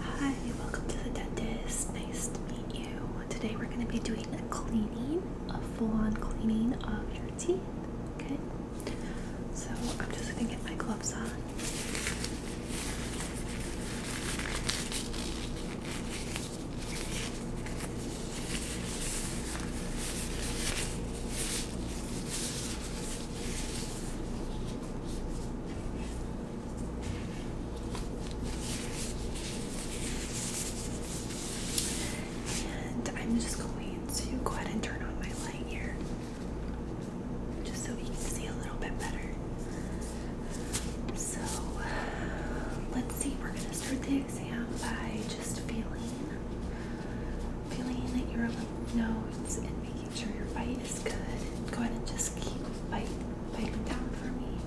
Hi, welcome to the dentist. Nice to meet you. Today we're going to be doing a cleaning, a full-on cleaning of your teeth. Okay. So I'm just going to get my gloves on. And I'm just going to go ahead and turn on my light here just so we can see a little bit better. So let's see, we're going to start the exam by just feeling feeling your nose and making sure your bite is good. Go ahead and just keep biting down for me.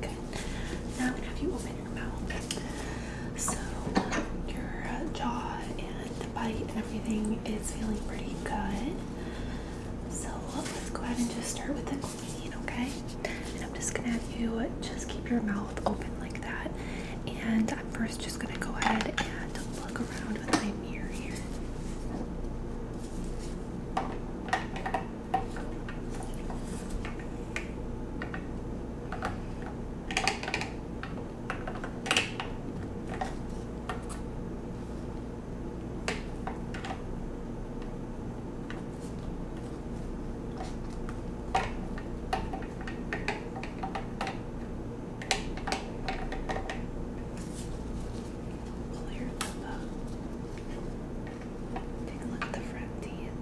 Good. Now I'm gonna have you open your mouth. So your uh, jaw and the bite and everything is feeling pretty good. So let's go ahead and just start with the okay? And I'm just gonna have you just keep your mouth open like that. And I'm first just gonna go ahead and look around with my mirror here. Clear them up. Take a look at the front teeth.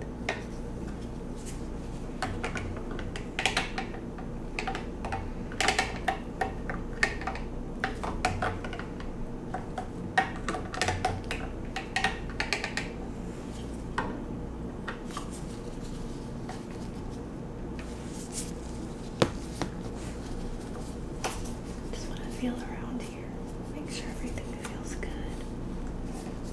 Just want to feel around here. Make sure everything feels good. Okay.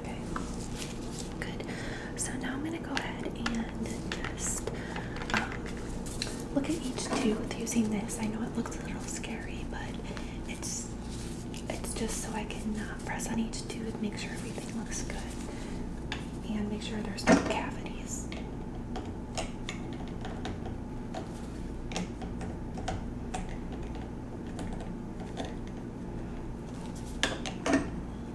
Okay. Good. So now I'm going to go ahead and just um, look at each tooth using this. I know it looks a little scary, but it's it's just so I can uh, press on each tooth, make sure everything looks good, and make sure there's no cavities.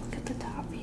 look at the top here.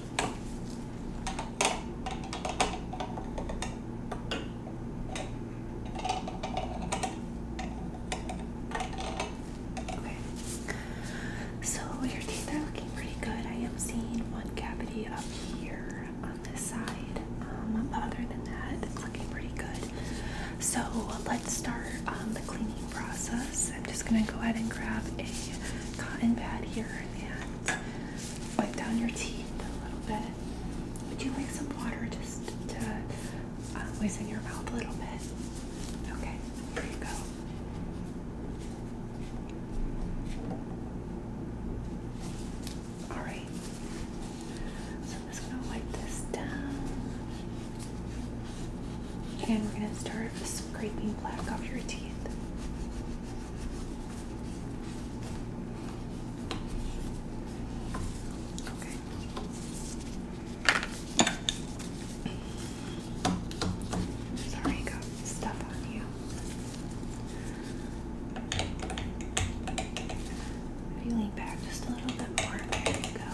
Okay, so your teeth are looking pretty good. I am seeing one cavity up here on this side, um, other than that, it's looking pretty good. So let's start um, the cleaning process. I'm just gonna go ahead and grab a cotton pad here and wipe down your teeth a little bit. Would you like some water just to uh, loosen your mouth a little bit? Okay, there you go. All right, so I'm just gonna wipe this down. And we're going to start scraping black off your teeth. Okay. Sorry, I stuff on you. If you lean back just a little bit more, there you go.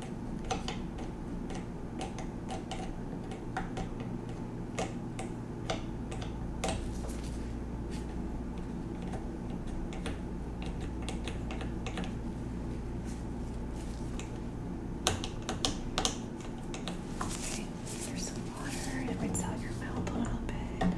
Okay, here's some water. It rinses out your mouth a little bit.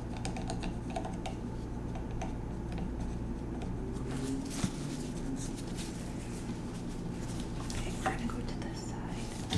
Okay, we're gonna go to this side.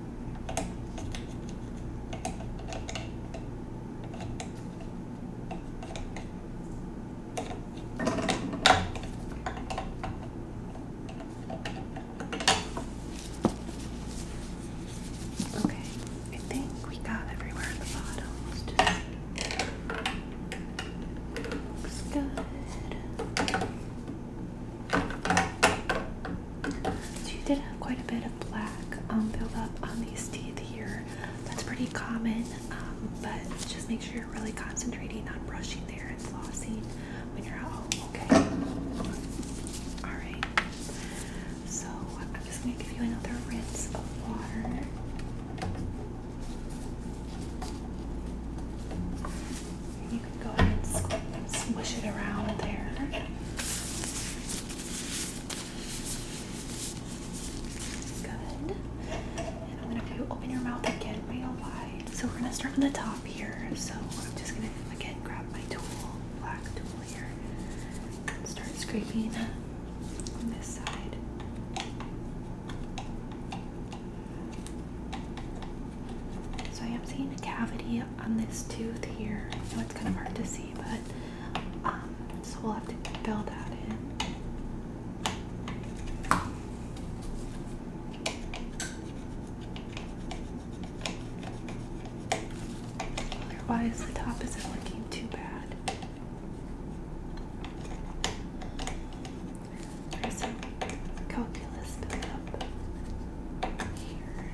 Okay, I think we got everywhere in the bottles. looks good. So you did have quite a bit of black um, buildup on these teeth here. That's pretty common, um, but just make sure you're really concentrating on brushing there and flossing when you're at okay? Alright, so I'm just going to give you another rinse of water. You can go ahead and squish, it around there. Good. And I'm gonna do open your mouth again real wide. So we're gonna start from the top here. So I'm just gonna again grab my tool, black tool here, and start scraping on this side. So I am seeing a cavity on this tooth here. I know it's kind of hard to see, but um, so we'll have to fill that in. Otherwise, the top isn't looking too bad. There's some calculus built here.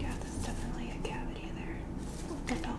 Yeah, there's definitely a cavity there. It's okay.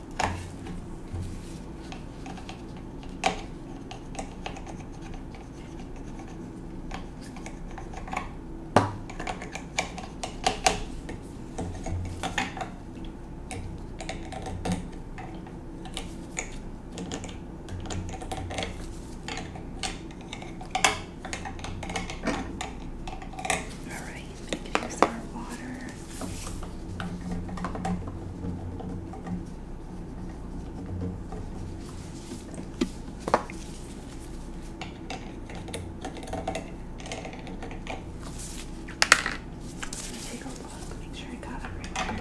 All right, here's our water. Take a look, make sure I got it right there.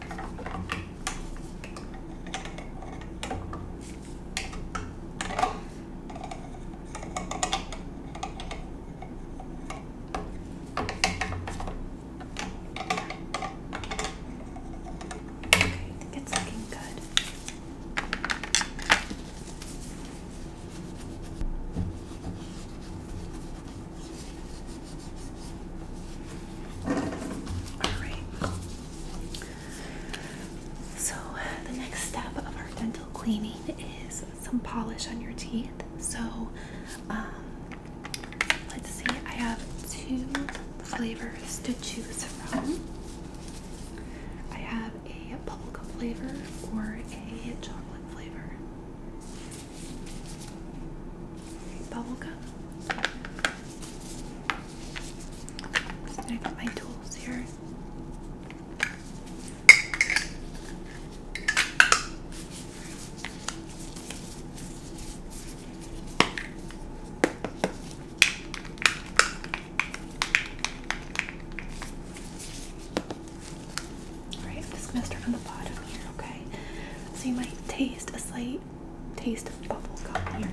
Okay, it's looking good. Alright. So, the next step of our dental cleaning is some polish on your teeth. So, um, let's see, I have two flavors to choose from. I have a bubblegum flavor or a chocolate flavor. Bubble gum. Just gonna get my tools here. Alright, I'm just gonna start on the bottom here, okay? So you might taste a slight taste of bubble gum here.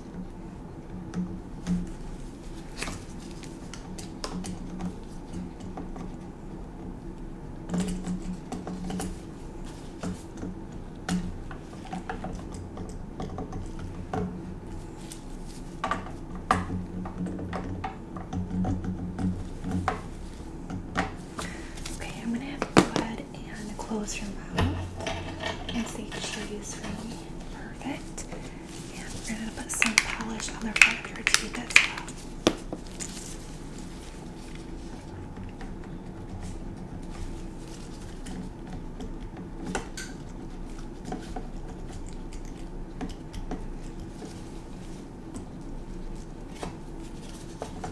Okay, I'm gonna have to go ahead and close your mouth and see cheese for me. Perfect. And we're going to put some polish on the front of your teeth as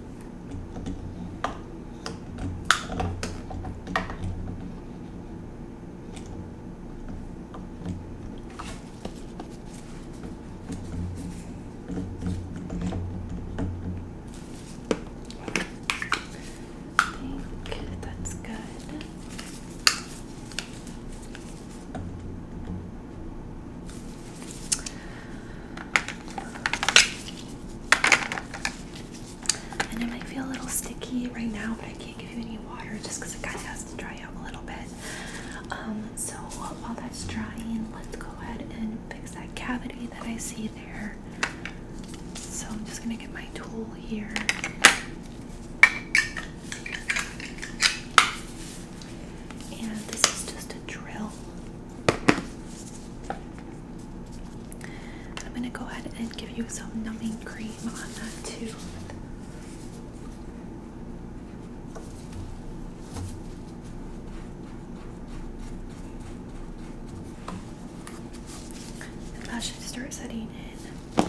I think that's good. And it might feel a little sticky right now, but I can't give you any water just because it kind of has to dry out a little bit. Um, so while that's drying, let's go ahead and fix that cavity that I see there. So I'm just going to get my tool here. And this is just a drill. I'm going to go ahead and give you some numbing cream on that too. And that should start setting in.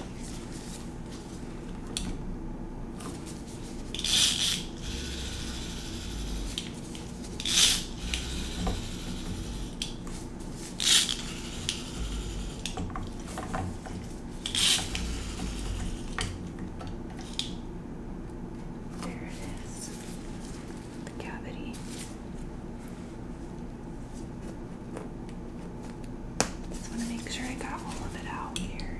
There it is, the cavity. Just want to make sure I got all of it out here.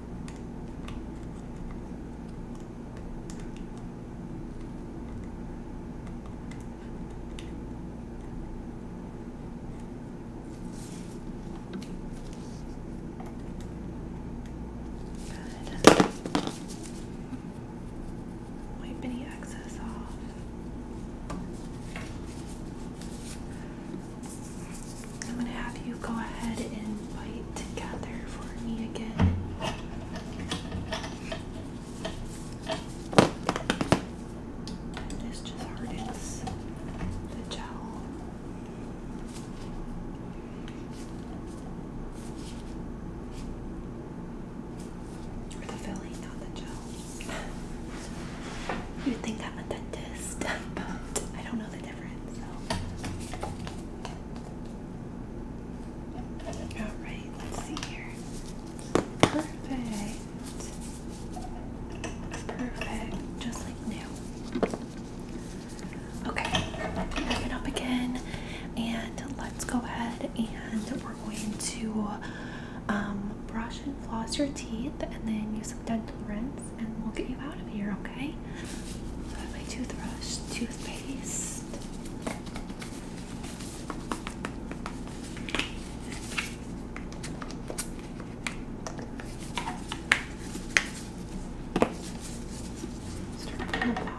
Good. Wipe any excess off. I'm gonna have you go ahead and bite together for me again. This just hardens the gel. Or the filling, not the gel. You'd think i a dentist, but I don't know the difference. All right, let's see here. Perfect. Perfect, just like new. Okay, back up again, and let's go ahead and we're going to um, brush and floss your teeth, and then use some dental rinse and we'll get you out of here, okay? my toothbrush, toothpaste. Start from the bottom.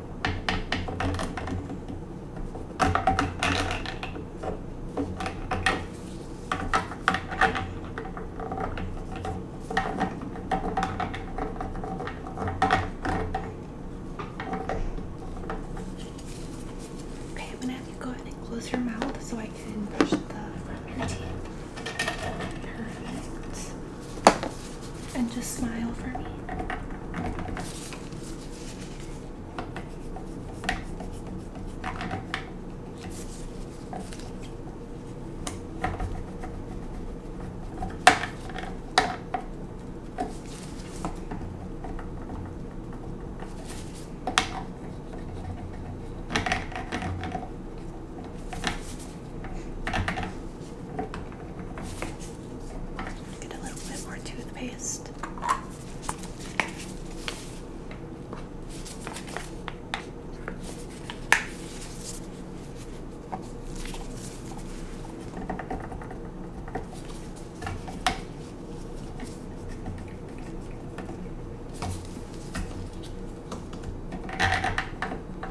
Okay, I'm gonna have you go ahead and close your mouth so I can brush the front of your teeth and just smile for me. Get a little bit more toothpaste.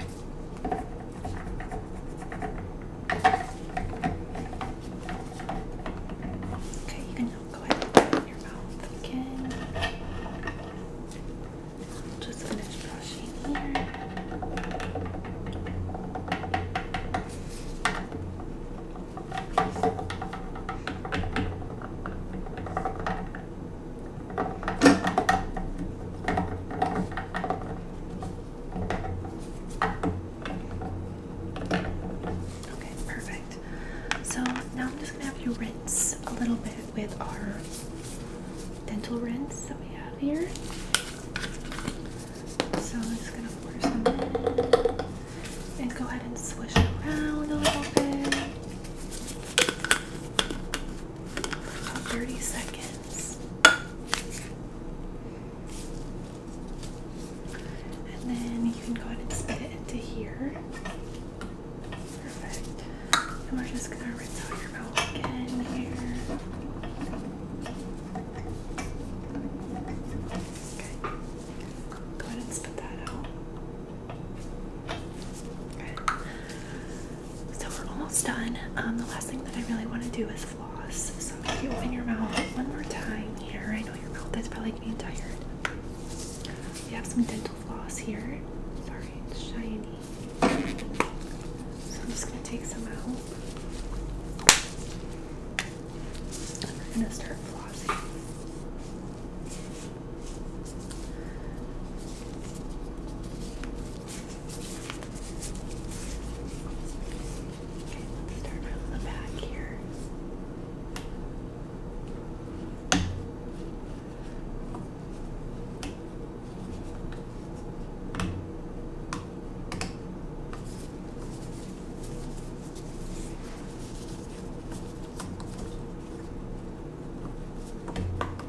Okay, you can now go ahead and open your mouth again. Just finish brushing here. Okay, perfect. So now I'm just gonna have you rinse a little bit with our dental rinse that we have here. So I'm just gonna pour some in and go ahead and swish it around a little bit. For about 30 seconds. And then you can go ahead and spit it into here. Perfect. And we're just gonna rinse out your mouth again here. Okay. Go ahead and spit that out. Okay. So we're almost done. Um, the last thing that I really want to do is floss. So if you open your mouth one more time here, I know your mouth is probably getting tired. We have some dental floss here. Sorry, it's shiny. So I'm just going to take some out. we're going to start flossing. Okay, let's start from the back here. Okay.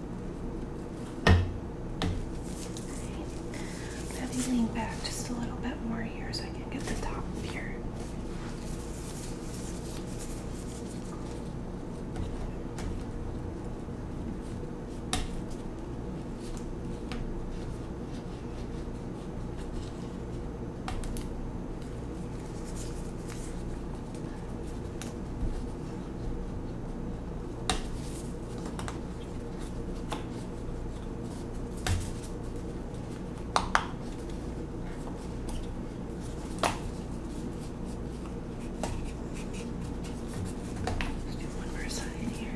I'm Alright. Let me lean back just a little bit more here so I can get the top here. Let's do one more side here.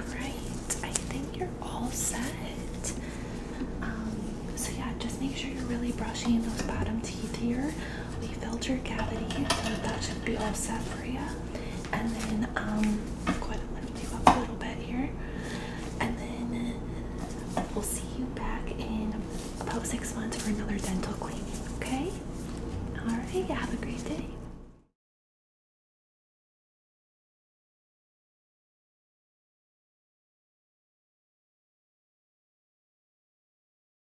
Alright, I think you're all set. Um, so, yeah, just make sure you're really brushing those bottom teeth here. We filled your cavity, so that should be all set for you. And then um, I'm going to lift you up a little bit here. And then we'll see you back in about six months for another dental cleaning, okay? All right, have a great day.